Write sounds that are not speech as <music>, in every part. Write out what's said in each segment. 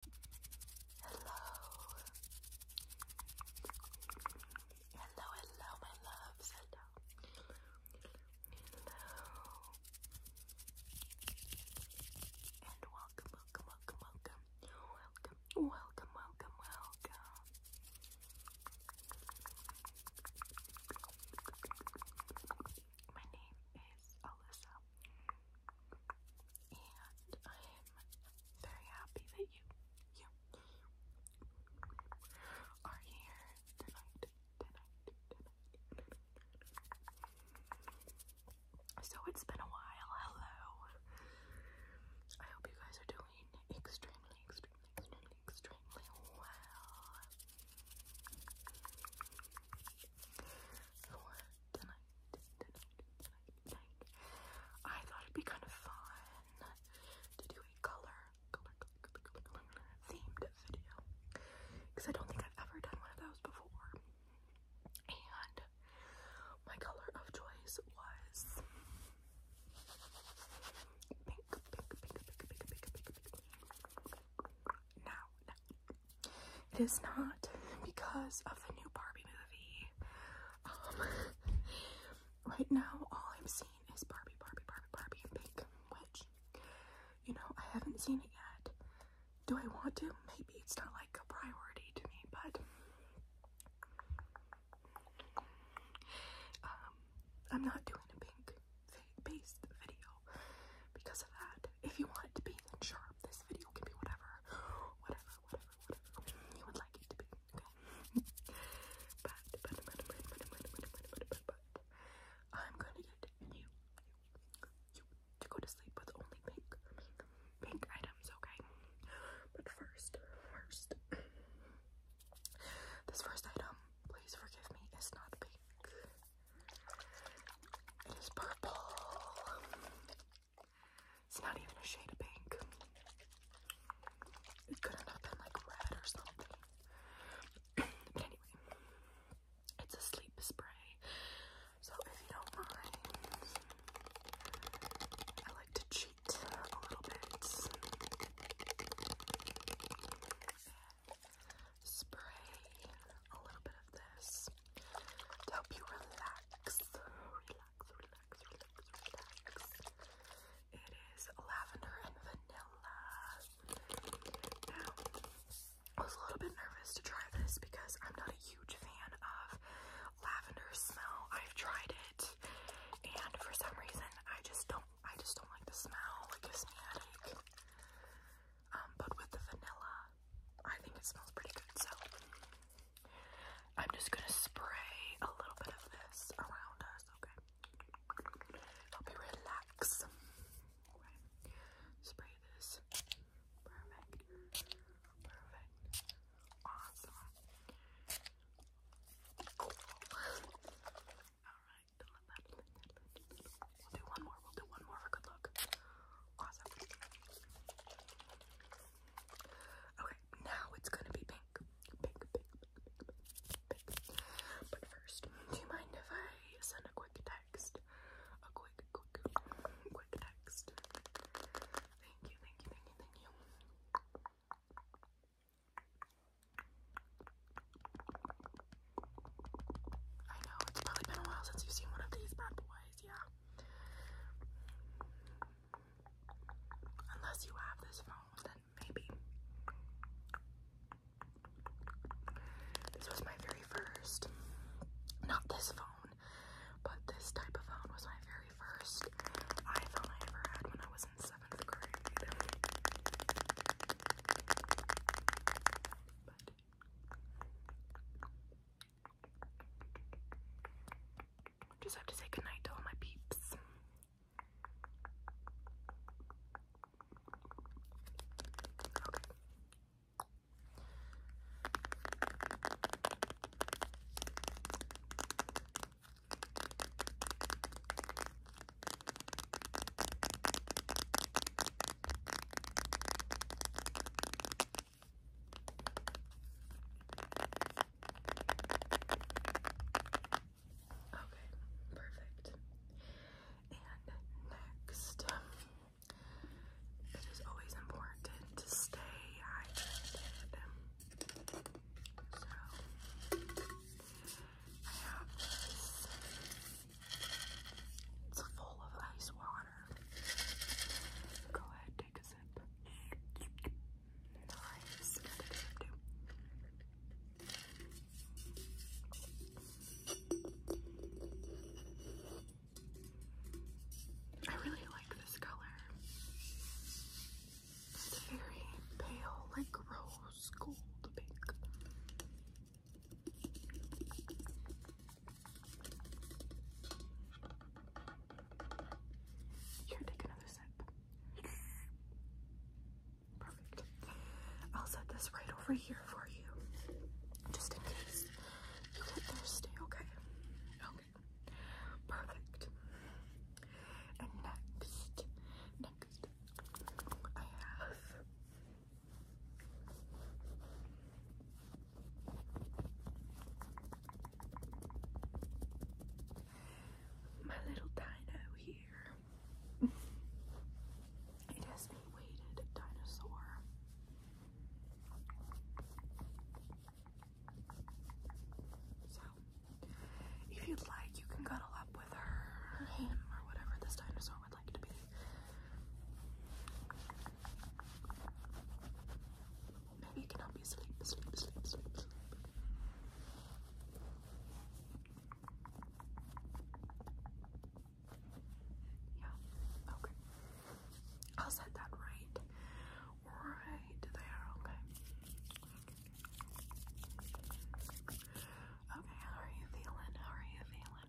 Hello. Hello, hello, my loves. Hello. Hello. And welcome, welcome, welcome, welcome. Welcome, welcome, welcome, welcome. My name is Alyssa and I'm very happy that you are here tonight, tonight, tonight. So it's been a while. Hello. I hope you guys are doing extremely, extremely, extremely, extremely well. tonight, tonight, I thought it'd be kind of fun to do a color, themed video because I don't think I've ever done one of those before. And my color of choice was pink, now, it is not because of the new Barbie movie. Um, right now, all I'm seeing is Barbie, Barbie, Barbie, Barbie, and pink, which, you know, I haven't seen it yet. Do I want to? Maybe it's not like a priority to me, but um, I'm not doing a pink based video because of that. If you want it to be and sharp. This video can be whatever, whatever, whatever, whatever you would like it to be, okay? but, but, but, but, but, but, but, but, but, but, I'm gonna get you, you, to go to sleep with only pink, pink, pink items, okay? But first, first, this first item, please forgive me, is not pink is purple. It's not even a shade of pink. It could have been like red or something. <clears throat> but anyway, it's a sleep spray. So don't mind, I like to cheat a little bit spray a little bit of this to help you relax. Relax, relax, relax, relax. It is lavender and vanilla. I was a little bit nervous to try this because I'm not a huge fan of lavender smell. I've tried it, and for some reason, I just don't. I just don't like the smell. It gives me headache. Um, but with the vanilla, I think it smells pretty good. So I'm just gonna spray a little bit of this around us, okay? Help you relax. Spray this. Perfect. Perfect. Awesome. <laughs> Alright, We'll do one more. We'll do one more for good luck. Awesome. Okay, now it's gonna be pink. Pink, pink, pink, pink, But first, do you mind if I send a quick text? A quick, quick, quick text. Thank you, thank you, thank you, thank you. I know, it's probably been a while since you've seen one of these bad boys, yeah. Unless you have this phone, then maybe. This was my very first, not this phone, but this type of phone was my very first iPhone I ever had when I was in seventh grade. Just have to say goodnight to all my peeps. Okay, perfect. And next, it is always important to stay hydrated. So, I have this it's full of ice water. Go ahead, take a sip. I really like this color. It's very pale, like rose gold pink. Here, take another sip. Perfect. I'll set this right over here for you. Just in case you get thirsty, okay? Okay. Perfect. And next, next, I have my little dino here. <laughs> it a weighted dinosaur. So, if you'd like, you can cuddle up with her, him, or whatever this dinosaur Maybe you can help me sleep, sleep, sleep, sleep, sleep. Yeah, okay. I'll set that right. Right there, okay. Okay, how are you feeling? How are you feeling?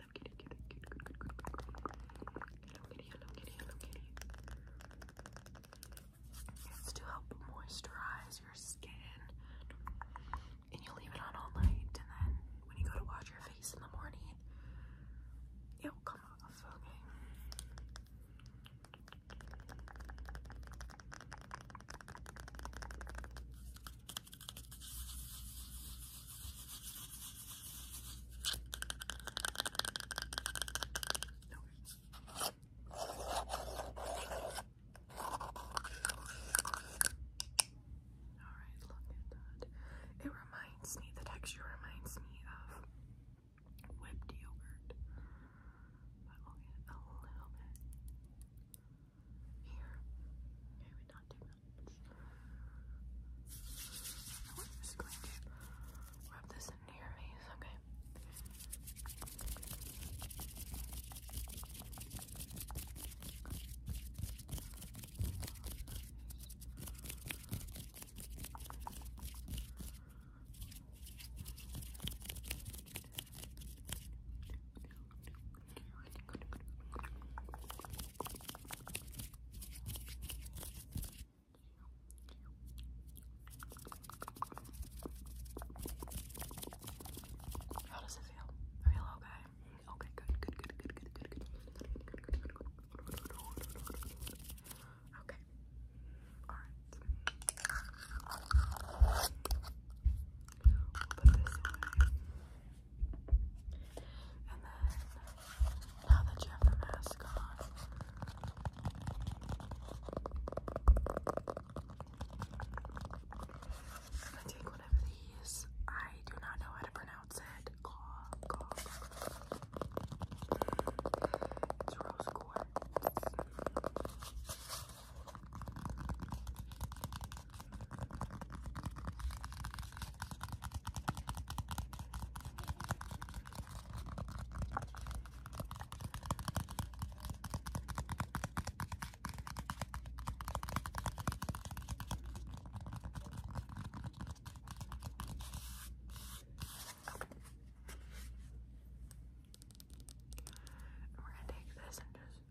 Hello Kitty, Kitty, moisturize your skin, and you leave it on all night, and then when you go to wash your face in the morning, it will come off. Okay. Alright, look at that. It reminds me, the texture reminds me of whipped yogurt. But I'll get a little bit here. Maybe not not too much. We're just going rub this into your face, Okay, how does it feel? I feel okay. Okay, good, good, good, good, good, good, good, good, good. Okay. Alright. We'll put this away. And then, now that you have the mask on, I'm gonna take one of these. I do not know how to pronounce it. It's rose quartz. And we're going to take this and just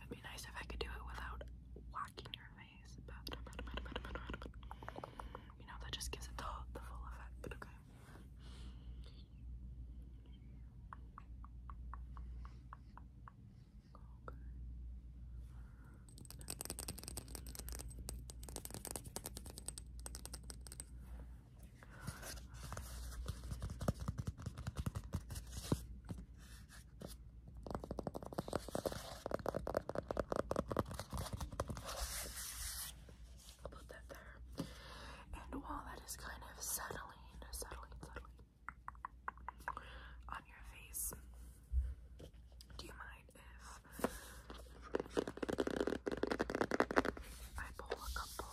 It'd be nice if I could do it without whacking your face, but you know that just gives it the, the full effect. But Okay put that there. And while that is kind of settling, settling, settling on your face, do you mind if I pull a couple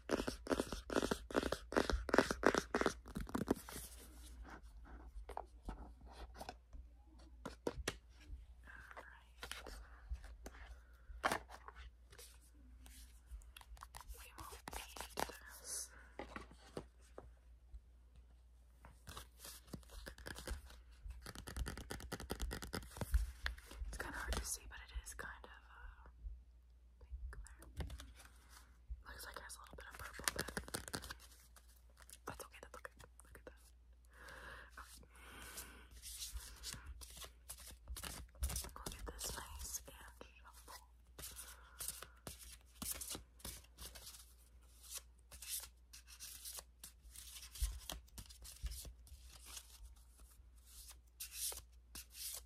It's kind of hard to see, but it is kind of uh, pink there. Looks like it a little bit of purple, but that's okay. That's okay. Look at get this nice and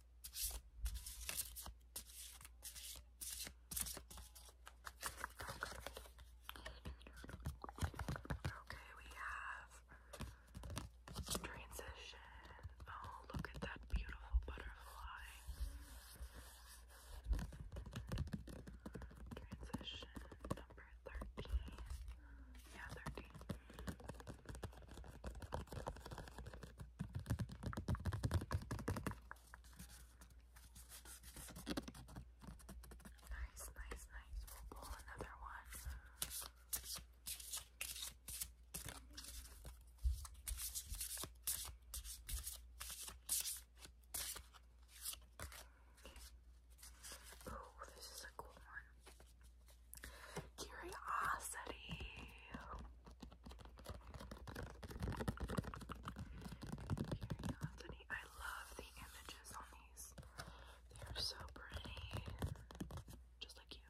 Okay, we have transition. Oh, look at that beautiful butterfly. Transition number 13. Yeah, 13. Nice, nice, nice. We'll pull another one. Oh, this is a cool one. Curiosity. Here, I love the images on these. They are so pretty. Just like you.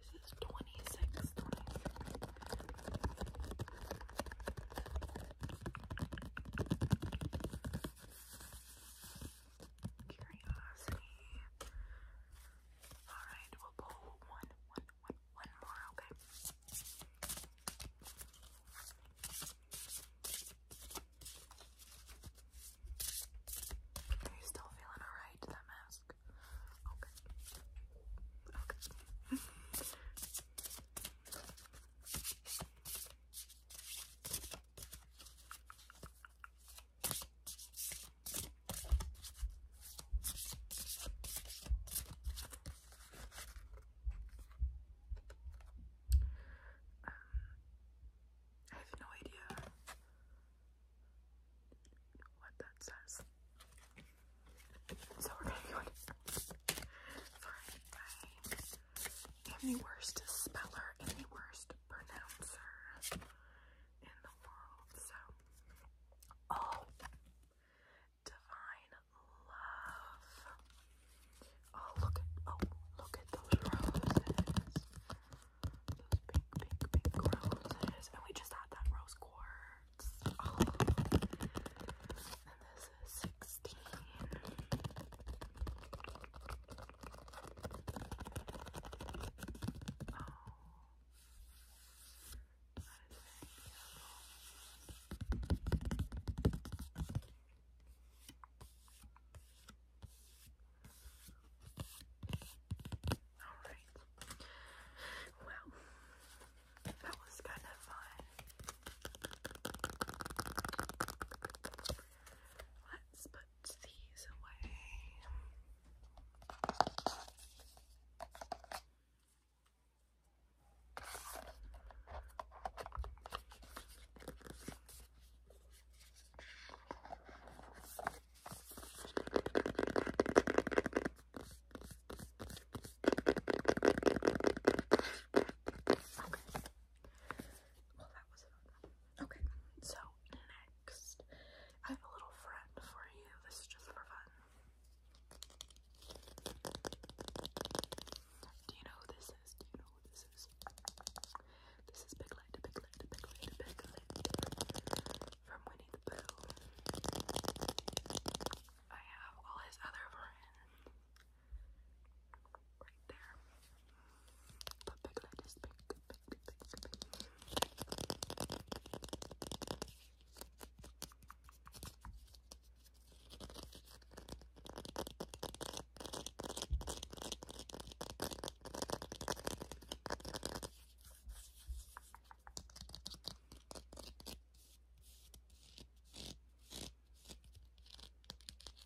This is 26 Curiosity. Alright, one, one, one, one more, okay? Are you still feeling alright, that mask? Okay. Okay. <laughs> Um, I have no idea what that says. So we're gonna go in. am the worst speller and the worst pronouncer in the world. So, oh, divine love. Oh, look at oh, look at those roses. Those pink, pink, pink roses. And we just had that rose quartz. Oh. And this is 16. All right. Well, that was kind of fun. Let's put away. Okay. Well, that was Okay, so next. I have a little friend for you. This is just for fun. Do you know who this is? Do you know who this is? This is Big Light, Big Light, Big Light, Big Light from Winnie the Pooh. I have all his other friends right there. But big light is big, big, big, big, big.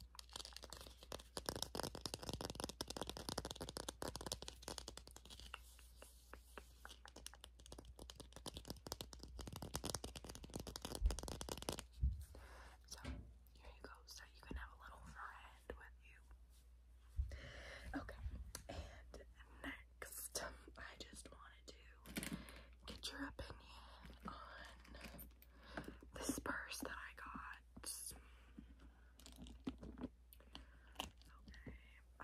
So, here you go, so you can have a little friend with you. Okay, and next, I just wanted to get your opinion on this purse that I got. Okay.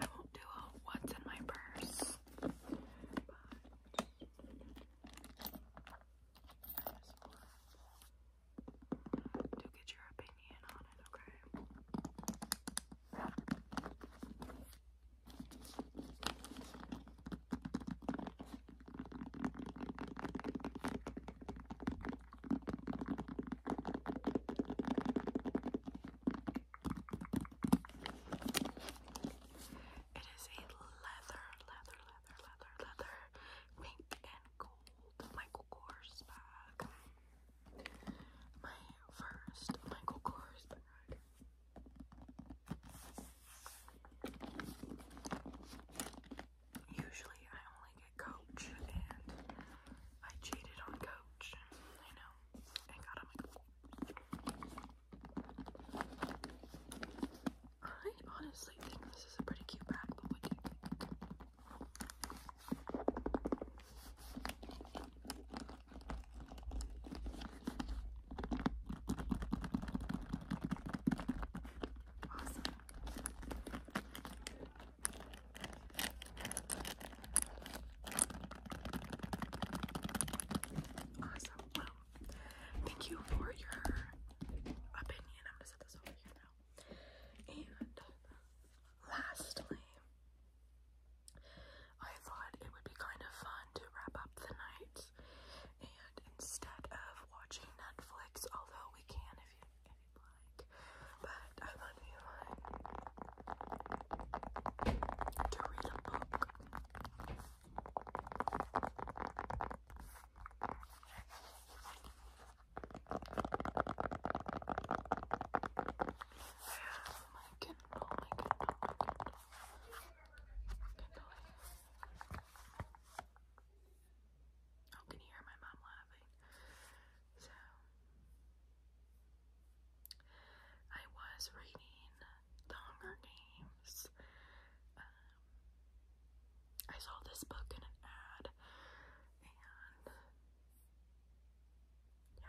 I won't do a what's in my purse, but get your opinion on it, Okay. It is a leather, leather, leather, leather, leather, pink and gold Michael Kors bag. My first Michael Kors bag. Usually I only get Coach, and I cheated on Coach. I know. I honestly think this is a pretty cute bag, but what do you think? Awesome. Awesome. Wow. Thank you for your opinion. I'm gonna set this over here now. And lastly, I thought it would be kind of fun to wrap up the night. And instead of watching Netflix, although we can if getting But I love you like to read a book. I my Kindle, my Kindle. Kindle. I oh, can hear my mom laughing. So, I was reading The Hunger Games. Um, I saw this book in an ad, and yeah.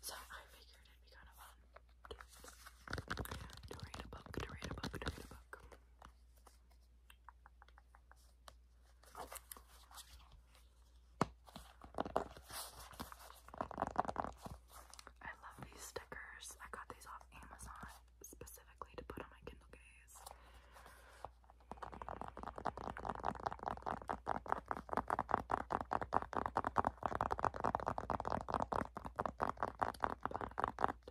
So, I figured it'd be kind of fun to read a book, to read a book, to read a book. I love these stickers. I got these off Amazon specifically to put on my Kindle Gaze. You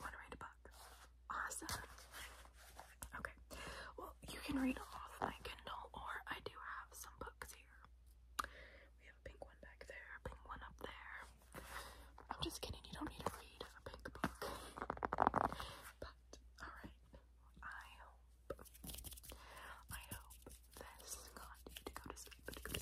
want to read a book? Awesome. Okay. Well, you can read off my Kindle, or I do have some books here. We have a pink one back there, pink one up there. I'm just kidding. You don't need to read a pink book. But alright, I hope, I hope this got you to go to sleep, or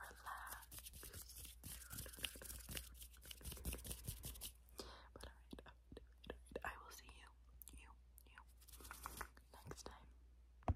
relax. But alright, I will see you, you, you, next time.